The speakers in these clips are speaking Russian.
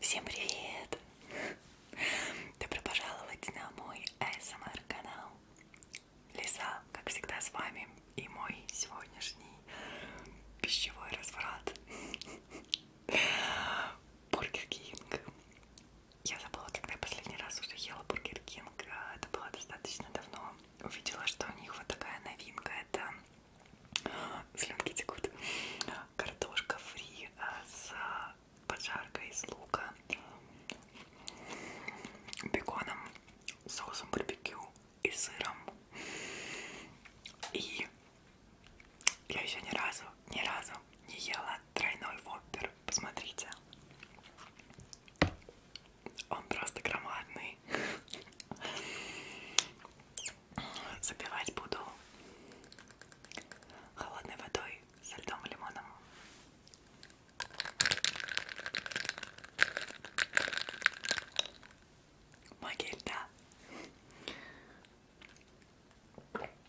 Всем привет! Добро пожаловать на мой ASMR эм канал. Лиза, как всегда, с вами и мой сегодняшний пищевой разврат. Бургер Кинг. Я забыла, когда я последний раз уже ела Бургер Кинг. А, это было достаточно давно. Увидела, что у них вот такая новинка. Это э, слюнки текут. Картошка фри э, с поджаркой из лука, беконом, соусом барбекю и сыром. И я еще ни разу, ни разу не ела тройной воппер. Посмотрите. Он просто громадный. Запивать буду холодной водой со льдом и лимоном. Магия льда.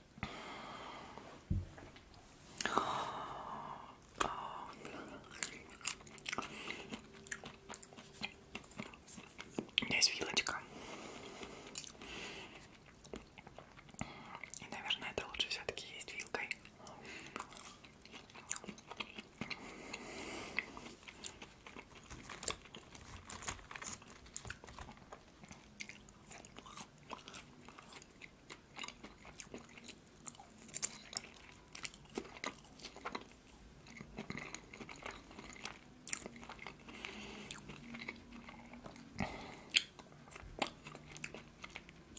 У меня есть вилочка. И, наверное, это лучше все-таки есть вилкой.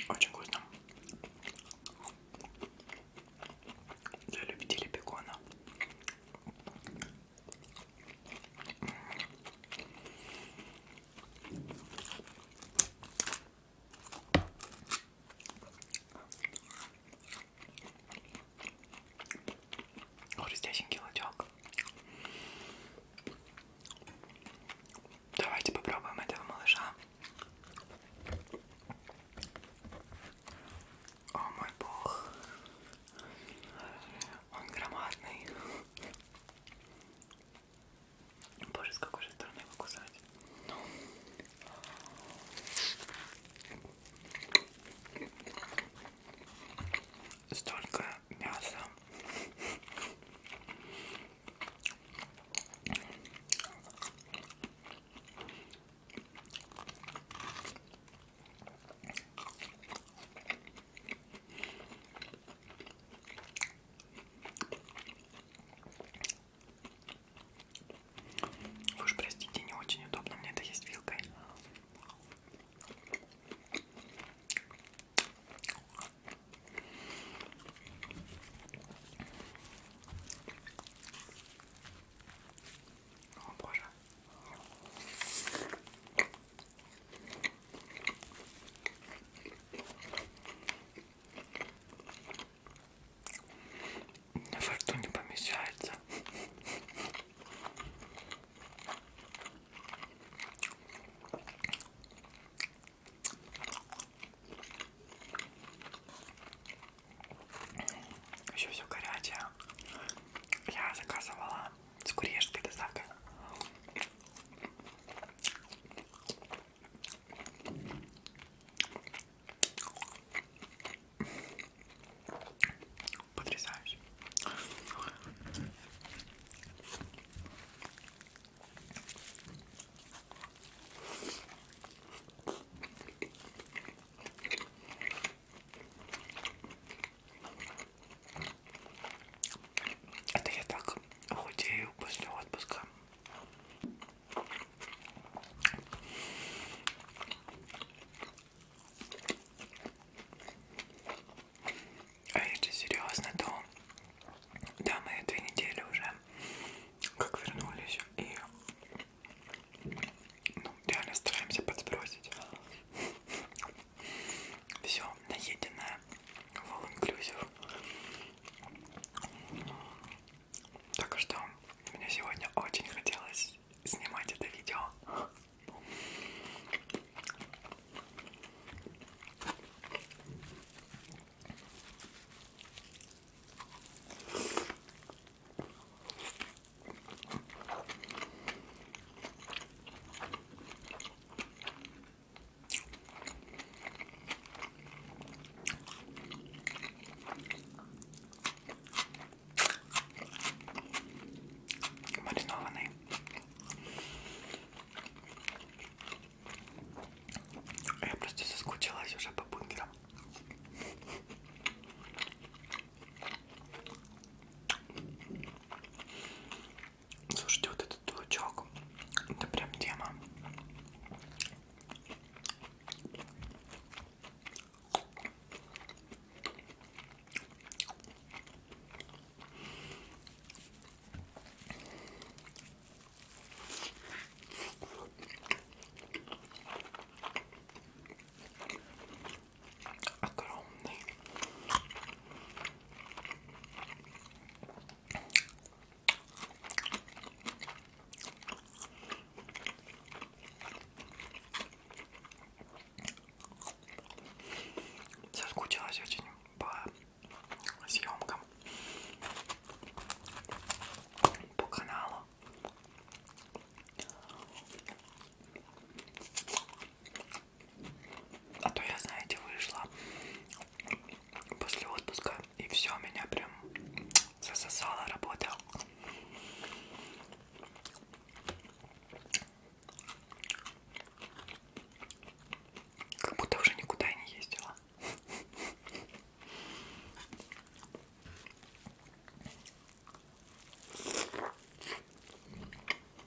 Очень вкусно. Для любителей бекона. Хрустященький лучок. Давайте попробуем этого малыша. О мой бог. Он громадный. Боже, с какой же стороны его кусать? Ну. Столько мяса. Вы уж простите, не очень удобно мне это есть вилкой. О боже. Во рту не помещается. Еще все горячее. Я заказывала с курьерской доставкой. Потрясающе. Это я так худею после отпуска. А если серьезно, то да, мы две недели уже как вернулись и ну, реально стараемся подсбросить. все наеденное в инклюзив. Так что мне сегодня очень хотелось снимать это видео маринованный. А я просто соскучилась уже по бункерам. Слушайте, вот этот лучок, это прям тема. Огромный. Соскучилась очень по съемкам по каналу. А то я, знаете, вышла после отпуска и все, меня прям засосала работа. Как будто уже никуда и не ездила.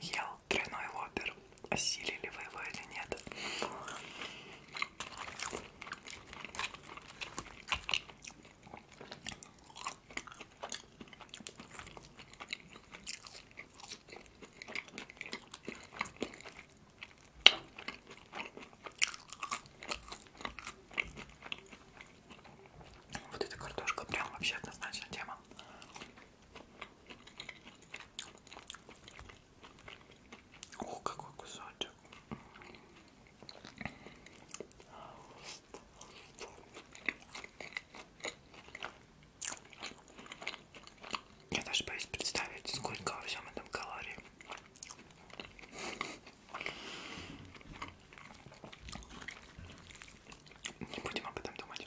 ел тройной опер. Осилили вы его или нет? Вот эта картошка прям вообще однозначно тема. О, какой кусочек. Я даже боюсь представить, сколько во всем этом калорий. Не будем об этом думать.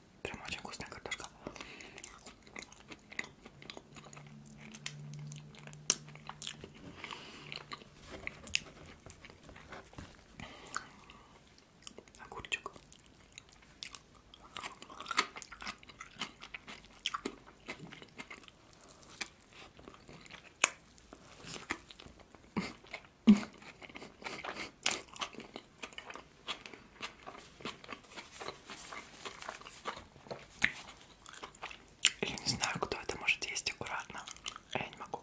Прям очень вкусная картошка. Огурчик. Я не знаю, кто это может есть аккуратно. Я не могу.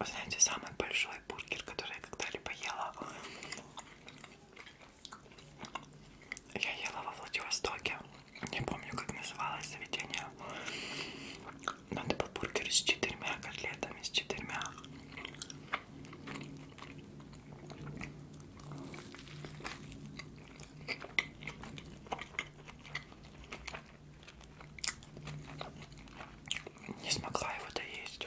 Вы знаете, самый большой бургер, который я когда-либо ела, я ела во Владивостоке. Не помню, как называлось заведение. Но это был бургер с четырьмя котлетами, с четырьмя. Не смогла его доесть.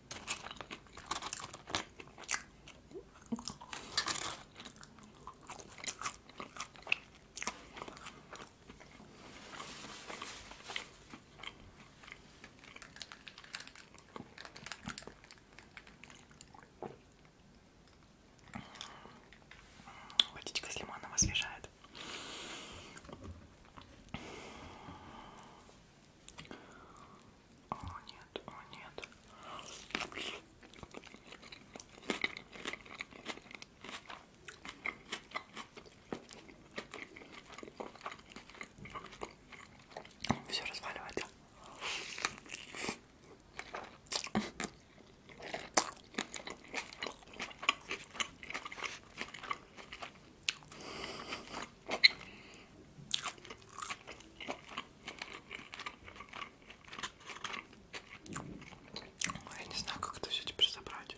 Водичка с лимоном освежает. О нет, о нет. Все разваливает. Я не знаю, как это все теперь собрать.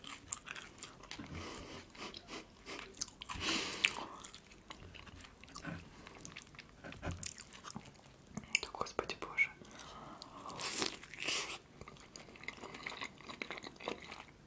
Да господи боже.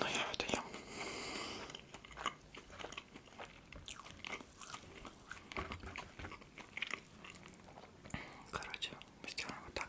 Но я это ем. Короче, мы сделаем вот так.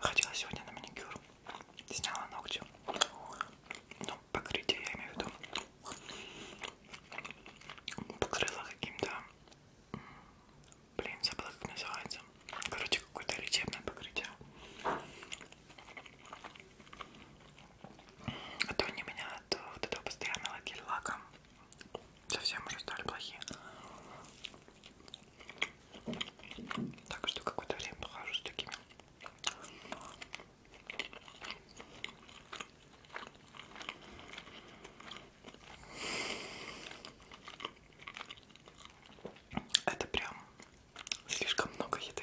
Ходила сегодня на маникюр, сняла ногти, ну, покрытие я имею в виду, покрыла каким-то, блин, забыла как называется, короче, какое-то лечебное покрытие. А то они меня от вот этого постоянного гель-лака совсем уже стали плохие. Так что какое-то время похожу с такими. Это прям слишком много еды.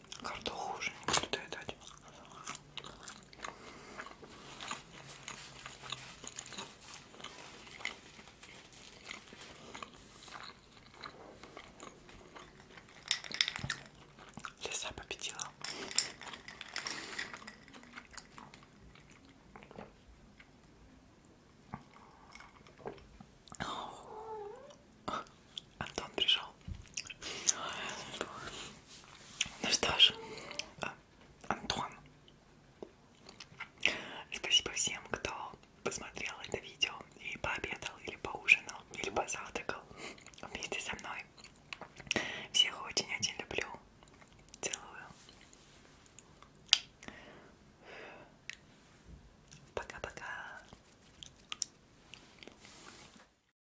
Карта хуже, не будет видать. Лиса победила. Антон пришел. Ну что ж, а, Антон, спасибо всем, кто посмотрел это видео и пообедал, или поужинал, или позавтракал вместе со мной. Всех очень-очень люблю. Целую. Пока-пока.